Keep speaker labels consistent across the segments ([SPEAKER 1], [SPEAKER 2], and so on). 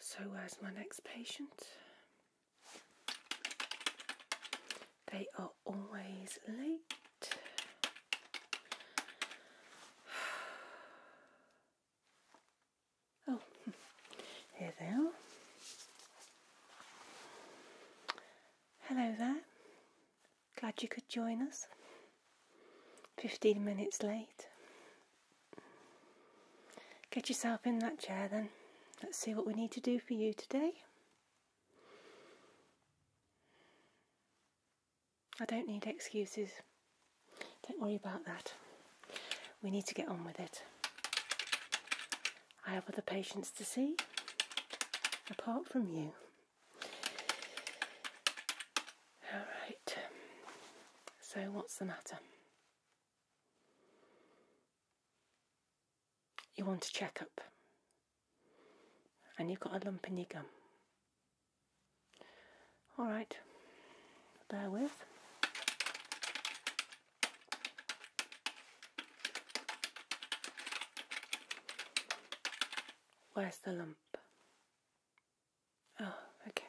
[SPEAKER 1] So where's my next patient? They are always late. Oh, here they are. Hello there. Glad you could join us. 15 minutes late. Get yourself in that chair then. Let's see what we need to do for you today. I don't need excuses. Don't worry about that. We need to get on with it. I have other patients to see, apart from you. Alright, so what's the matter? you want a checkup and you've got a lump in your gum. All right, bear with. Where's the lump? Oh, okay.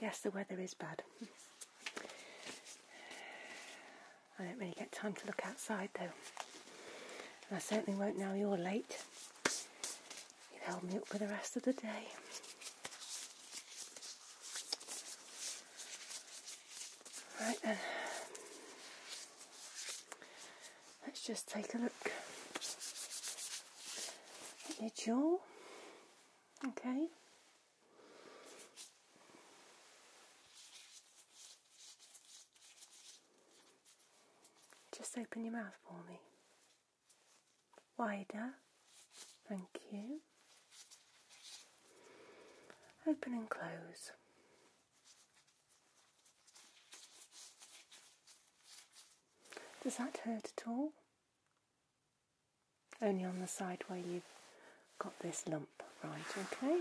[SPEAKER 1] Yes, the weather is bad. I don't really get time to look outside though. I certainly won't now you're late. You've held me up for the rest of the day. Right then, let's just take a look at your jaw. Okay. Just open your mouth for me. Wider. Thank you open, and close. Does that hurt at all? Only on the side where you've got this lump, right, okay?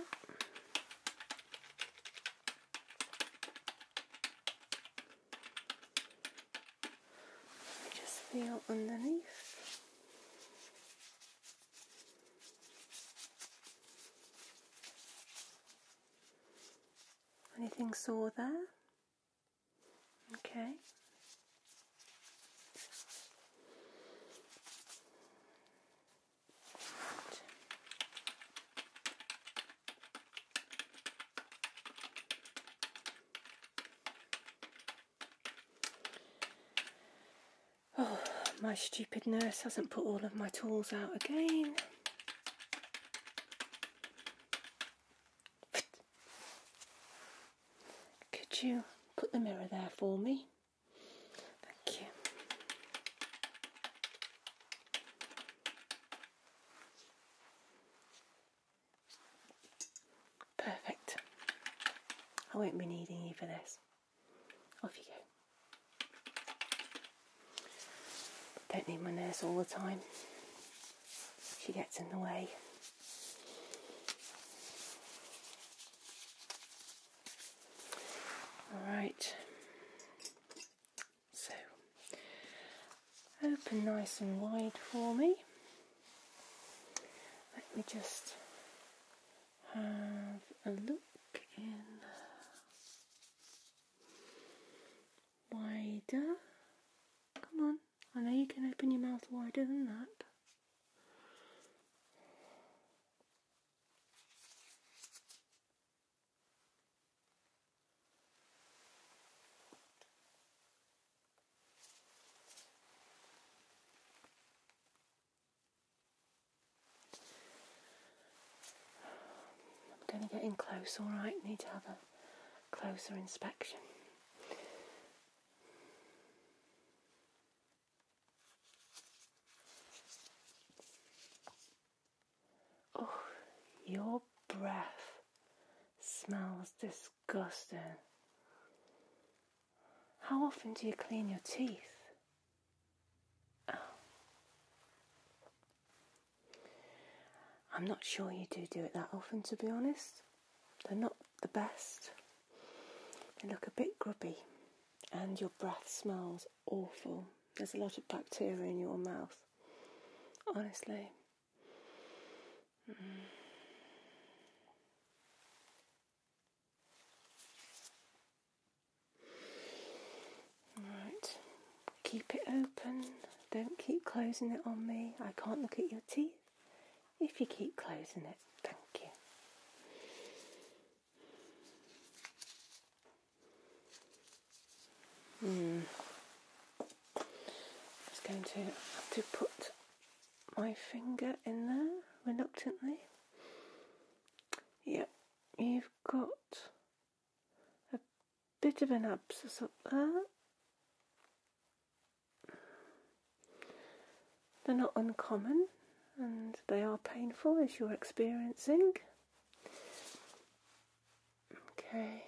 [SPEAKER 1] Just feel underneath. Anything sore there? Okay. Oh, my stupid nurse hasn't put all of my tools out again. Could you put the mirror there for me? Thank you. Perfect. I won't be needing you for this. Off you go. Don't need my nurse all the time. She gets in the way. Alright. So, open nice and wide for me. Let me just have a look in wider. Come on, I know you can open your mouth wider than that. I'm going to get in close, alright? Need to have a closer inspection. Oh, your breath smells disgusting disgusting. How often do you clean your teeth? Oh. I'm not sure you do do it that often, to be honest. They're not the best. They look a bit grubby, and your breath smells awful. There's a lot of bacteria in your mouth. Honestly, Alright, keep it open, don't keep closing it on me. I can't look at your teeth if you keep closing it. Thank you. Mm. I'm just going to have to put my finger in there reluctantly. Yep, you've got a bit of an abscess up there. They're not uncommon and they are painful as you're experiencing. Okay.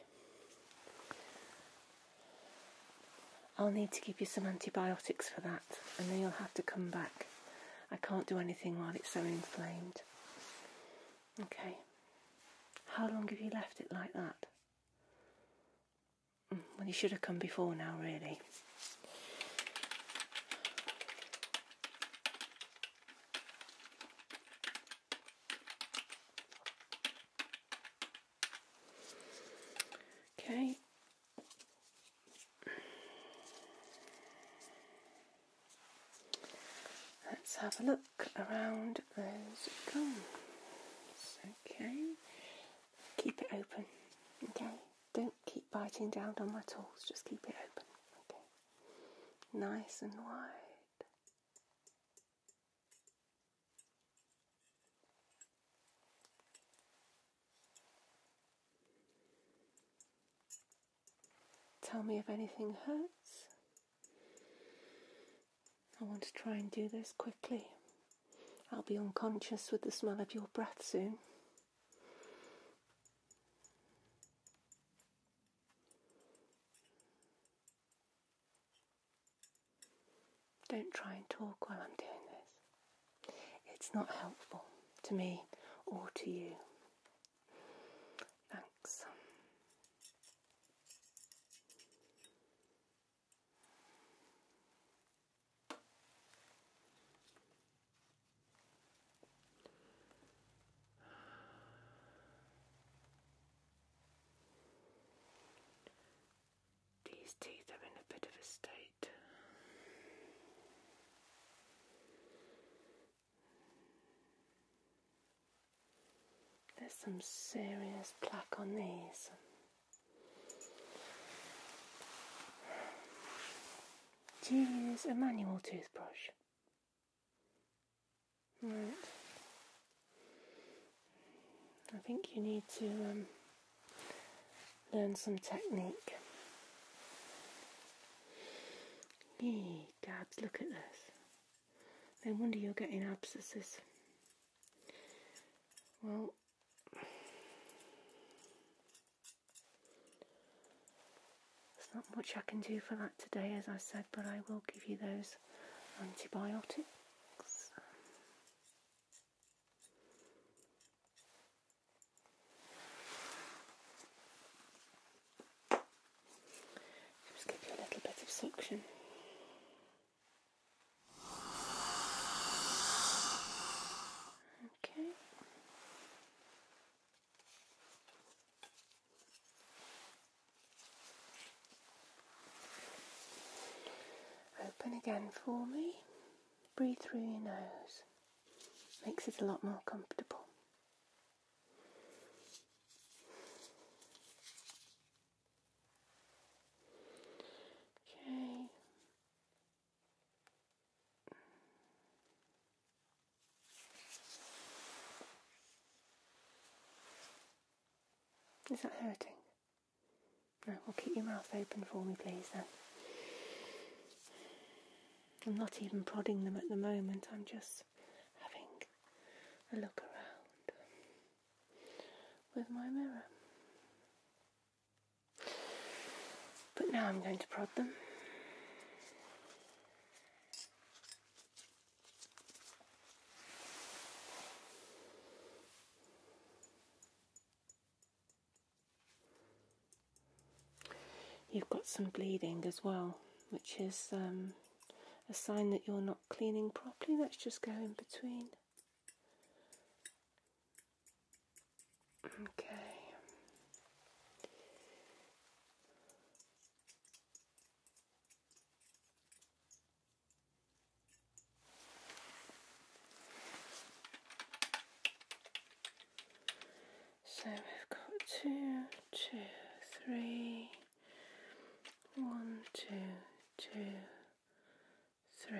[SPEAKER 1] I'll need to give you some antibiotics for that, and then you'll have to come back. I can't do anything while it's so inflamed. Okay. How long have you left it like that? Mm, well, you should have come before now, really. Okay. Let's have a look around those gums. Okay. Keep it open. Okay. Don't keep biting down on my tools, just keep it open. Okay. Nice and wide. Tell me if anything hurts. I want to try and do this quickly. I'll be unconscious with the smell of your breath soon. Don't try and talk while I'm doing this. It's not helpful to me or to you. Thanks. These teeth are in a bit of a state. There's some serious plaque on these. Do you use a manual toothbrush? Right. I think you need to um, learn some technique. Yee, Gabs, look at this. No wonder you're getting abscesses. Well, there's not much I can do for that today, as I said, but I will give you those antibiotics. Just give you a little bit of suction. Okay. Open again for me. Breathe through your nose. Makes it a lot more comfortable. Okay. Is that hurting? No, well keep your mouth open for me please then. I'm not even prodding them at the moment, I'm just having a look around with my mirror. But now I'm going to prod them. You've got some bleeding as well, which is um, a sign that you're not cleaning properly. Let's just go in between. Okay. So we've got two, two, three, one, two, two, three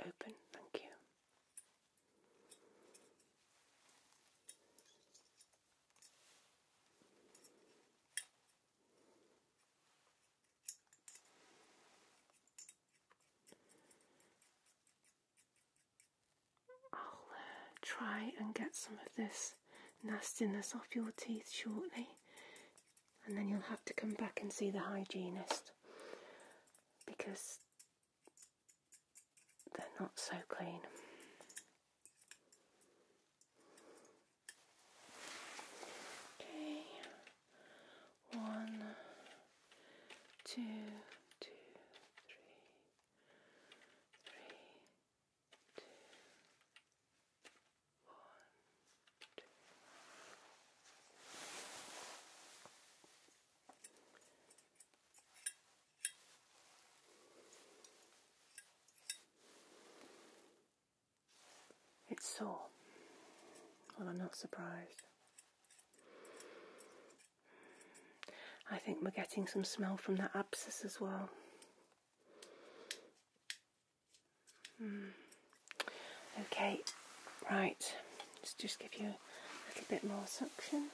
[SPEAKER 1] open. Thank you. I'll uh, try and get some of this nastiness off your teeth shortly and then you'll have to come back and see the hygienist because they're not so clean. Okay, one, two, two, three, three, two, it's sore. Well, I'm not surprised. I think we're getting some smell from that abscess as well. Hmm. Okay, right. Let's just give you a little bit more suction.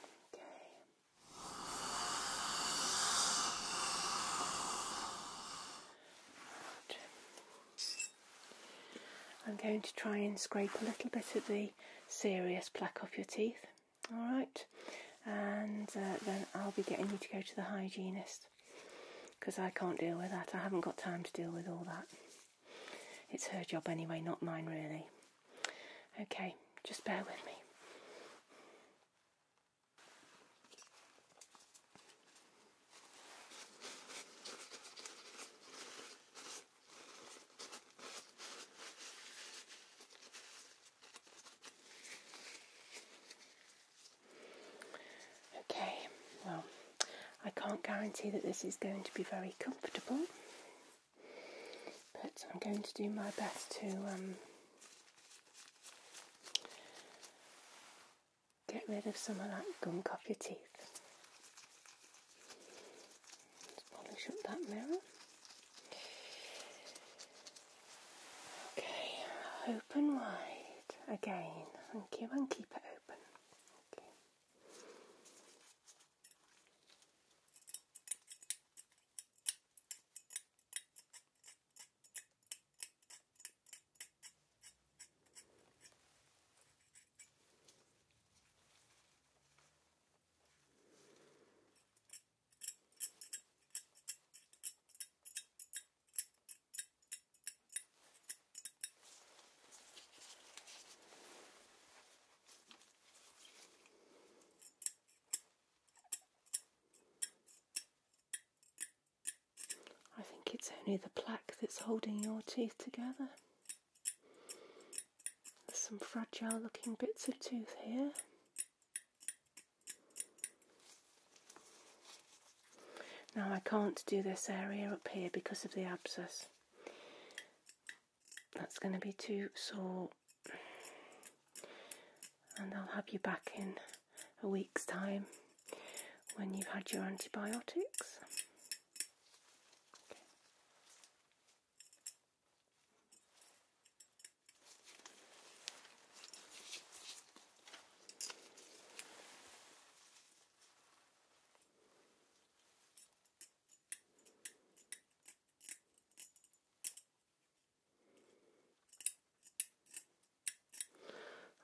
[SPEAKER 1] Okay. I'm going to try and scrape a little bit of the serious plaque off your teeth. Alright, and uh, then I'll be getting you to go to the hygienist because I can't deal with that. I haven't got time to deal with all that. It's her job anyway, not mine, really. Okay, just bear with me. Okay, well, I can't guarantee that this is going to be very comfortable, but I'm going to do my best to um, get rid of some of that gum off your teeth. Let's that mirror. Okay, open wide again. Thank you, and keep it open. I think it's only the plaque that's holding your teeth together. There's some fragile looking bits of tooth here. Now I can't do this area up here because of the abscess. That's going to be too sore. And I'll have you back in a week's time when you've had your antibiotics.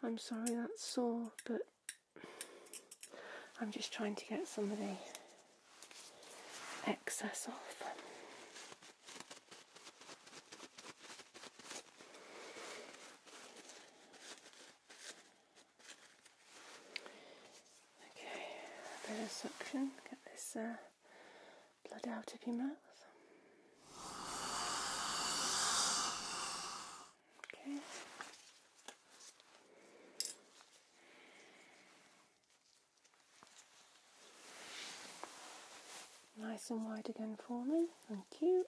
[SPEAKER 1] I'm sorry that's sore, but I'm just trying to get some of the excess off. Okay, a bit of suction, get this uh, blood out of your mouth. Okay. Nice and wide again for me, thank you.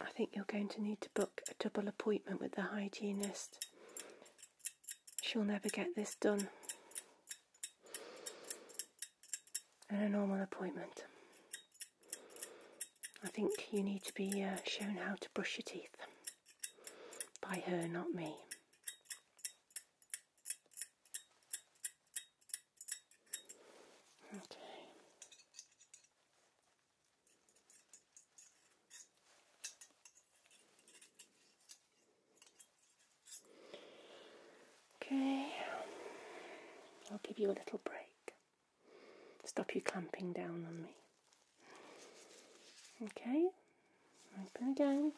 [SPEAKER 1] I think you're going to need to book a double appointment with the hygienist she'll never get this done in a normal appointment. I think you need to be uh, shown how to brush your teeth by her, not me. Okay. Okay, I'll give you a little break. Stop you clamping down on me. Okay, open again.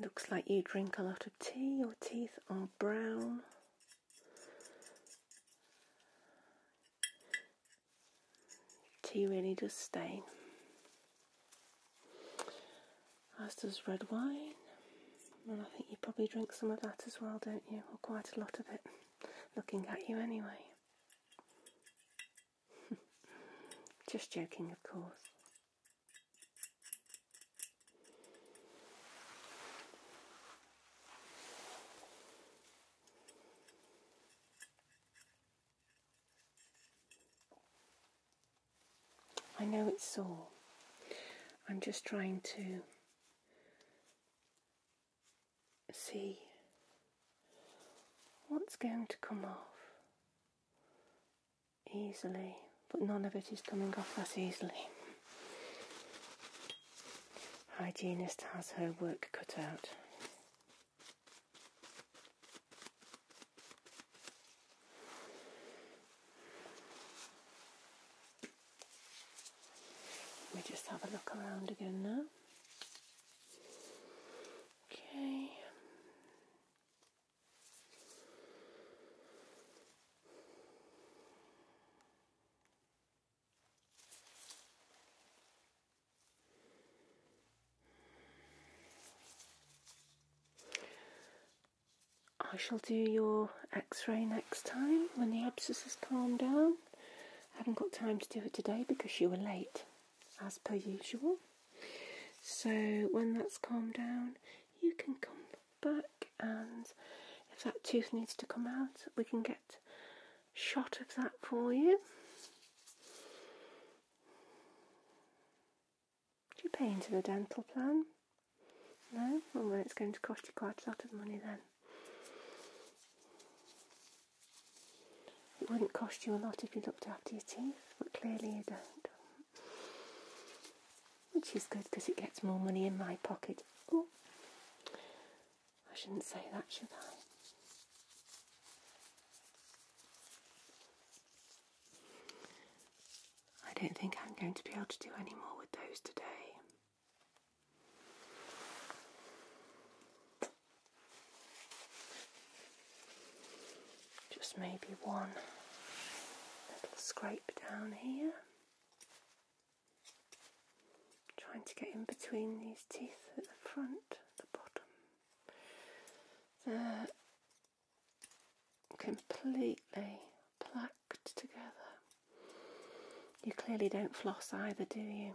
[SPEAKER 1] Looks like you drink a lot of tea, your teeth are brown. Tea really does stain. As does red wine. And I think you probably drink some of that as well, don't you? Or quite a lot of it, looking at you anyway. Just joking, of course. I know it's sore. I'm just trying to see what's going to come off easily, but none of it is coming off that easily. Hygienist has her work cut out. We just have a look around again now. Okay. I shall do your x-ray next time when the abscess has calmed down. I haven't got time to do it today because you were late as per usual. So when that's calmed down, you can come back and if that tooth needs to come out, we can get shot of that for you. Do you pay into the dental plan? No? and well it's going to cost you quite a lot of money then. It wouldn't cost you a lot if you looked after your teeth, but clearly you don't. Which is good because it gets more money in my pocket. Oh, I shouldn't say that, should I? I don't think I'm going to be able to do any more with those today. Just maybe one little scrape down here. Trying to get in between these teeth at the front, the bottom. completely placked together. You clearly don't floss either, do you?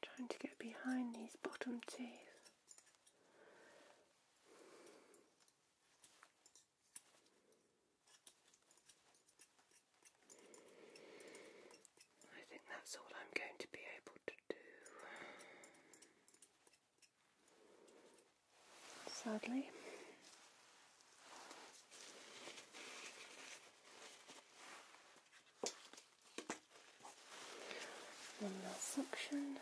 [SPEAKER 1] Trying to get behind these bottom teeth. I think that's all I'm going to be able to do sadly. One last suction. Okay.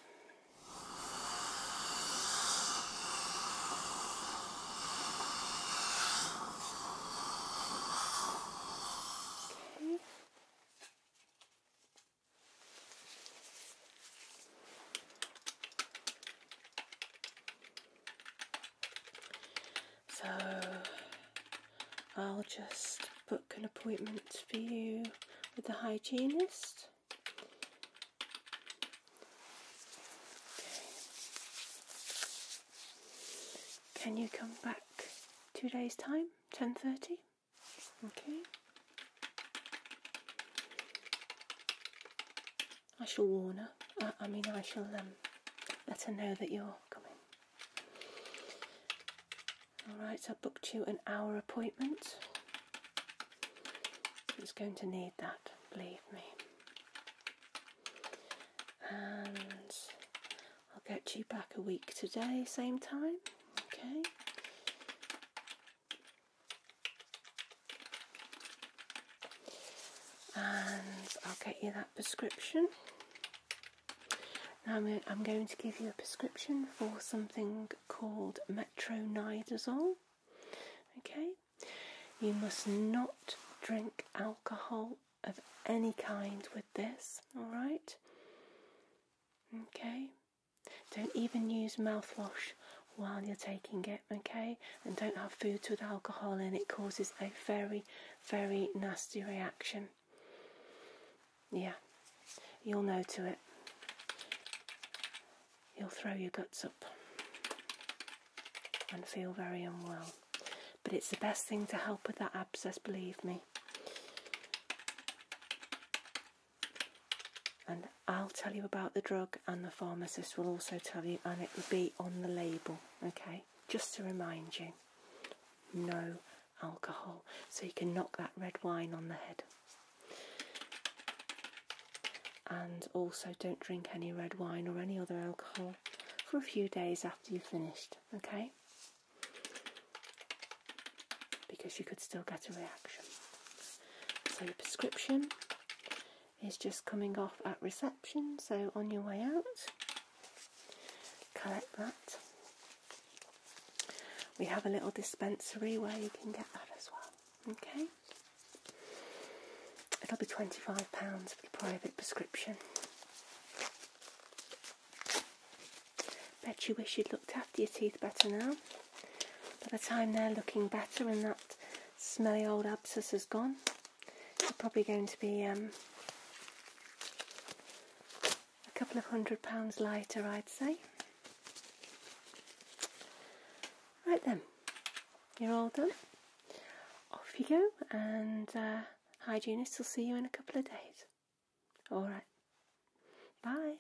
[SPEAKER 1] So I'll just book an appointment for you with the hygienist. Can you come back two days time, 10.30? Okay. I shall warn her. I, mean, I shall um, let her know that you're coming. All right, so I booked you an hour appointment. She's going to need that, believe me. And I'll get you back a week today, same time. Okay and I'll get you that prescription. Now I'm, going to give you a prescription for something called metronidazole. Okay, you must not drink alcohol of any kind with this. All right. Okay. Don't even use mouthwash while you're taking it, okay? And don't have foods with alcohol in it causes a very, very nasty reaction. Yeah, you'll know to it. You'll throw your guts up and feel very unwell. But it's the best thing to help with that abscess, believe me and I'll tell you about the drug and the pharmacist will also tell you and it will be on the label okay just to remind you no alcohol so you can knock that red wine on the head and also don't drink any red wine or any other alcohol for a few days after you've finished okay because you could still get a reaction so your prescription is just coming off at reception, so on your way out, collect that. We have a little dispensary where you can get that as well. Okay? It'll be £25 for the private prescription. Bet you wish you'd looked after your teeth better now. By the time they're looking better and that smelly old abscess is gone. It's probably going to be um, a couple of hundred pounds lighter, I'd say. Right then, you're all done. Off you go, and uh, hygienist will see you in a couple of days. All right. Bye.